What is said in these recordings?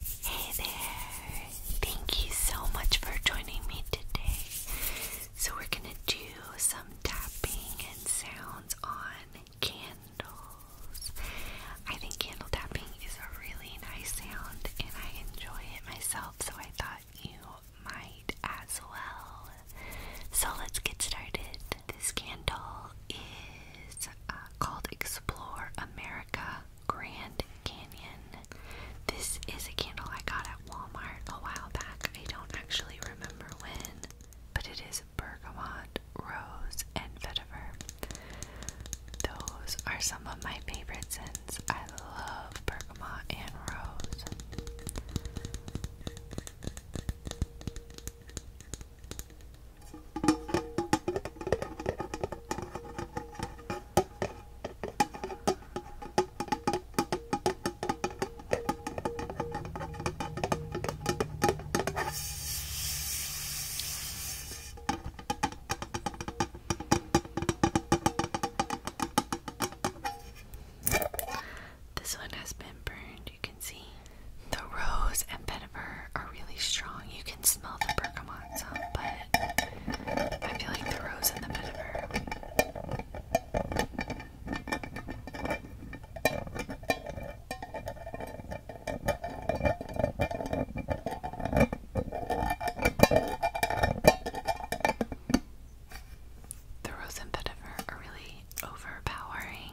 Hey there! Thank you so much for joining me today. So, we're gonna do some tapping and sounds on candles. I think candle tapping is a really nice sound and I enjoy it myself, so I thought you might as well. So, let's get started. This candle is uh, called Explore America Grand Canyon. This is a candle I got at Walmart a while back. I don't actually remember when, but it is bergamot, rose, and vetiver. Those are some of my favorite scents. I love bergamot and rose. This one has been burned, you can see. The rose and vetiver are really strong. You can I can smell the bergamot but I feel like the rose and the vetiver. The rose and vetiver are really overpowering.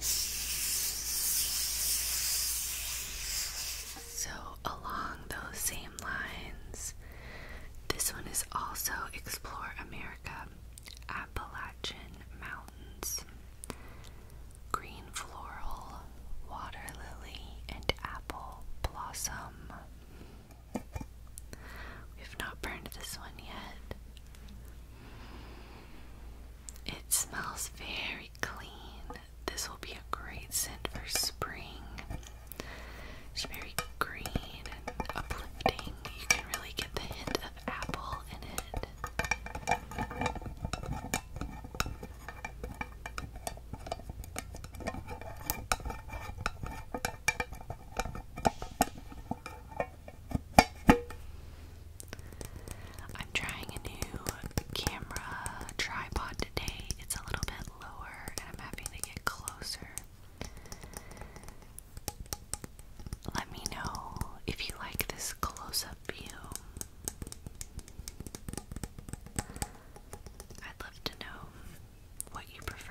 So, along those same lines, this one is also Explore America Appalachian Mountains. Green floral, water lily, and apple blossom. We have not burned this one yet. It smells very clean. This will be a great scent for spring. It's very green and uplifting. You can really get the hint of apple in it. I'm trying a new camera tripod today. It's a little bit lower and I'm having to get closer. Let me know if you like this close up view. I'd love to know what you prefer.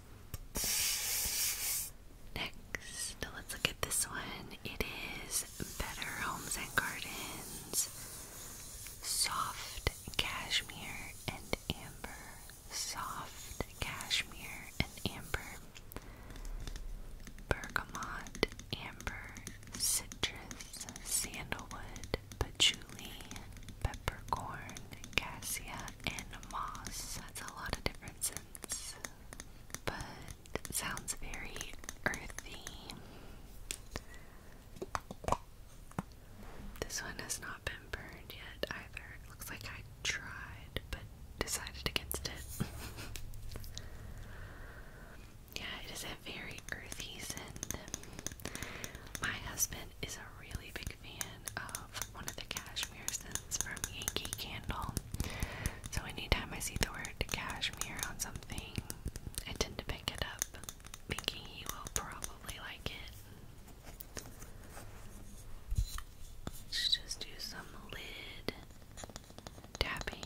Next, let's look at this one. It is Better Homes and Gardens Soft Cashmere and Amber. Soft Cashmere and Amber. Bergamot, Amber, Citrus, Sandalwood, Patchouli, Peppercorn, Cassia, and Moss. That's a lot of different scents but sounds very earthy. This one has not been burned yet either. looks like I tried but decided against it. yeah, it is a very earthy scent. My husband is a really big fan of one of the cashmere scents is from Yankee Candle. So anytime I see the word cashmere on something, I tend to pick it up, thinking will probably like it. Let's just do some lid tapping.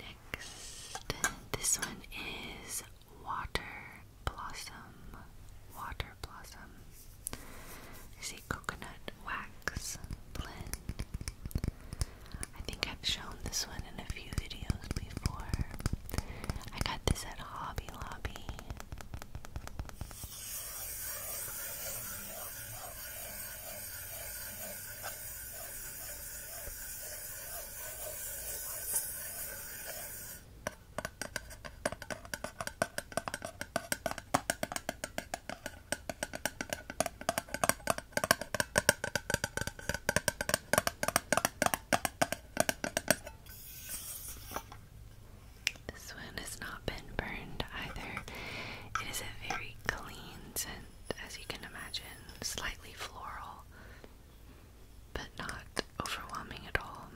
Next, this one is Water Blossom. Water Blossom. Is a coconut wax blend. I think I've shown this one in a few videos before. I got this at Hobby Lobby. This one has not been burned either. It is a very clean scent, as you can imagine, slightly floral but not overwhelming at all.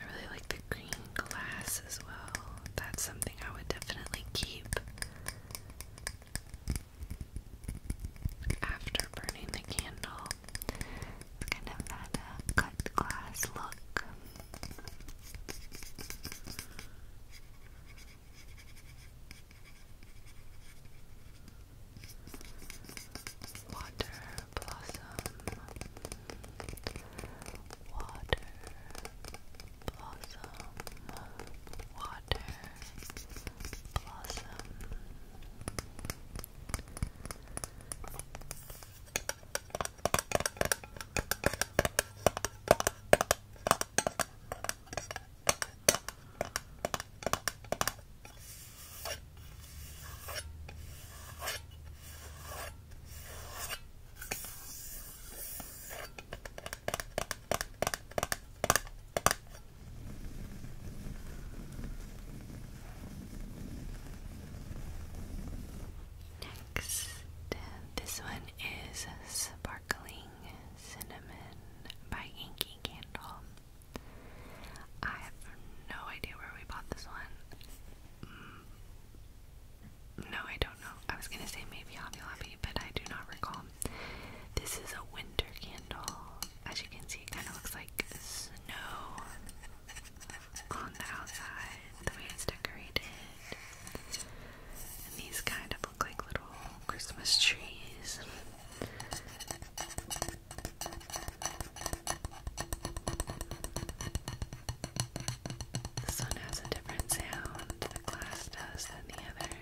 I really like the green glass as well. That's something I would definitely keep after burning the candle. It's kind of that uh, cut glass look. Water blossom, water blossom, water blossom. Water Next, uh, this one is sparkling Cinnamon by Yankee Candle. I have no idea where we bought this one. Mm, no, I don't know. I was gonna say maybe Hobby Lobby, but I do not recall. This is a winter candle. As you can see, it kind of looks like snow on the outside, the way it's decorated these kind of look like little Christmas trees. The sun has a different sound, the glass does, than the others.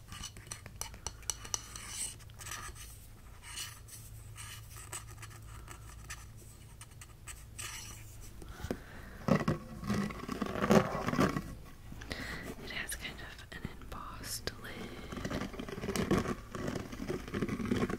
It has kind of an embossed lid.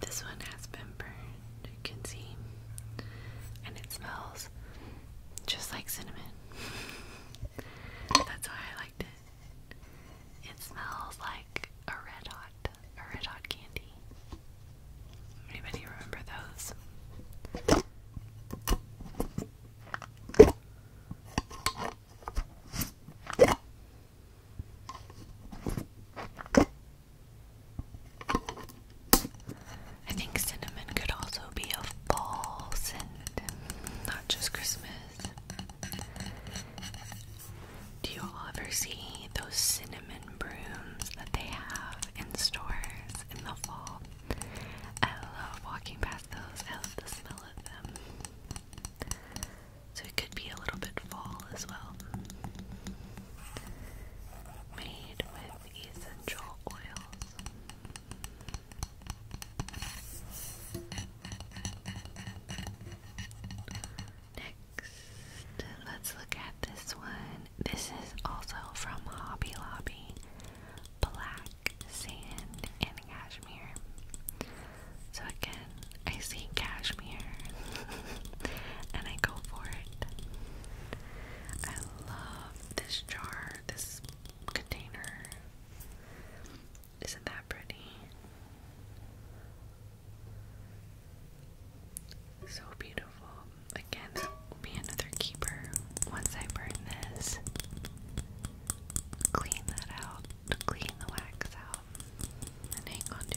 This one has been burned, you can see, and it smells just like cinnamon. That's why I liked it. It smells like a red hot, a red hot candy. Anybody remember those? I think cinnamon could also be a fall scent, not just Christmas. Do you ever see those cinnamon and brooms that they have in stores in the fall. I love walking past those. I love the smell of them. So it could be a little bit fall as well. Made with essential oils. Next, let's look at this one. This is also from Hobby Lobby. Black sand and cashmere. So again, I see cashmere and I go for it. I love this jar, this container. Isn't that pretty? So beautiful. Again, be another keeper once I burn this. Clean that out, clean the wax out, and hang on it.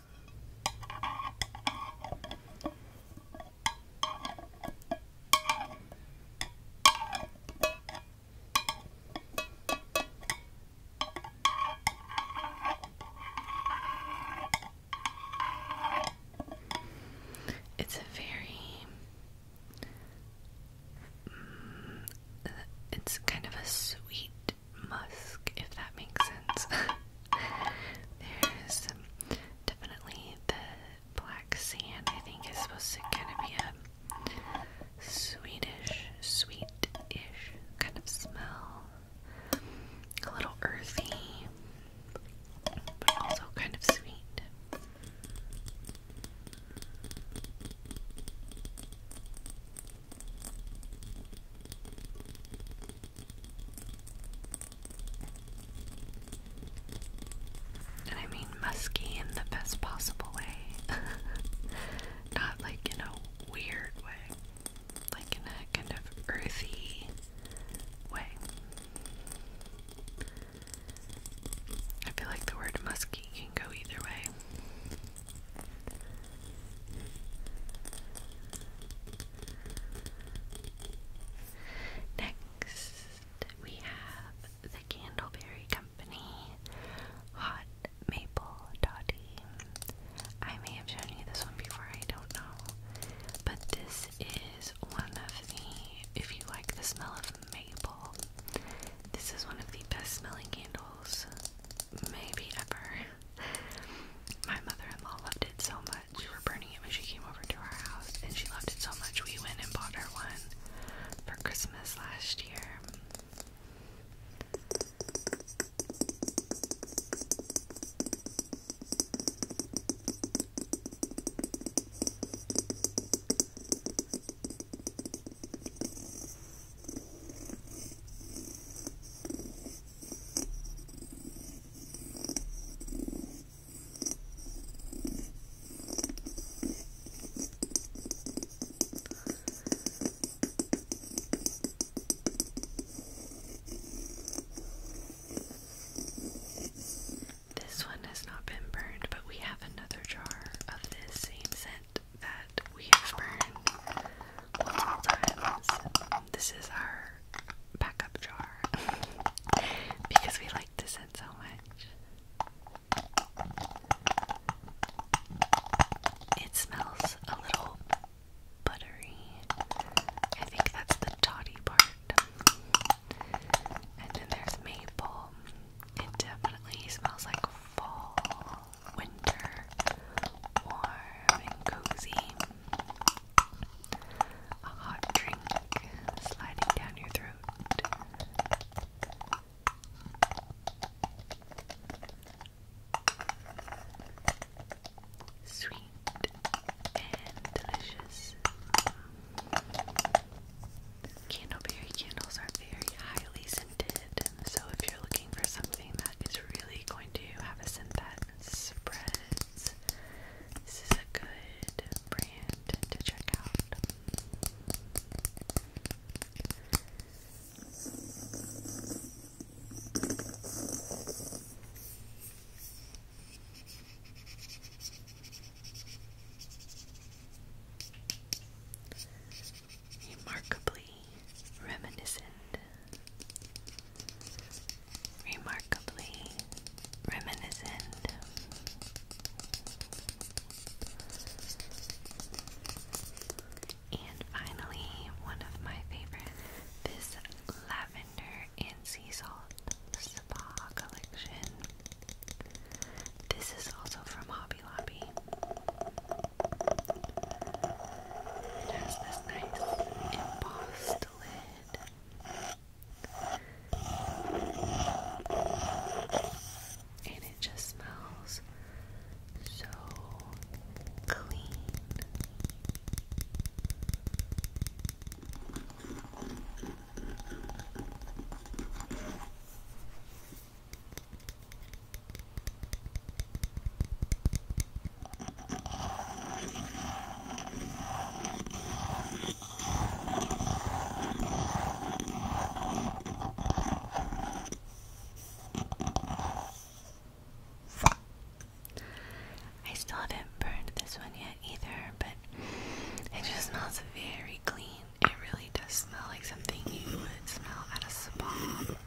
It's a very mm, it's kind of a sweet musk, if that makes sense. There's definitely the black sand, I think, is supposed to kind of be a sweetish, sweetish kind of smell. A little earthy, but also kind of sweet. And I mean musky in the best possible way. Not like in a weird way, like in a kind of earthy way. I feel like the word musky can go either way. Next, we have the Candleberry Company Hot Maple Toddy. I may have shown you this one before, I don't know. But this is one of the, if you like the smell of maple, this is one of the best smelling candles maybe ever. My mother-in-law loved it so much. We were burning it when she came over to our house, and she loved it so much we went and bought her one for Christmas last year. This one has not been burned, but we have another jar of this same scent that we have burned. This is our backup jar because we like this scent so much. It smells a little buttery. I think that's the toddy part. And then there's maple. It definitely smells like fall winter, warm and cozy. A hot drink sliding down your throat. Sweet and delicious. Candleberry candles are very highly scented. So if you're looking for something that is really going to have a scent that spreads, this is a good brand to check out remarkably reminiscent, remarkably reminiscent. And finally, one of my favorite, this lavender and sea salt spa collection. This is also from Hobby Lobby. It has this nice embossed lid. And it just smells so clean. I still haven't burned this one yet either, but it just smells very clean. It really does smell like something you would smell at a spa.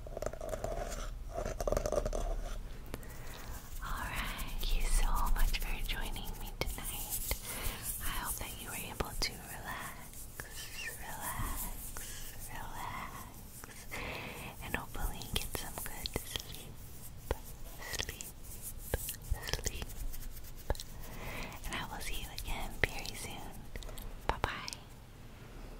Alright, thank you so much for joining me tonight. I hope that you were able to relax, relax, relax, and hopefully get some good sleep, sleep, sleep. And I will see you again very soon. Bye bye.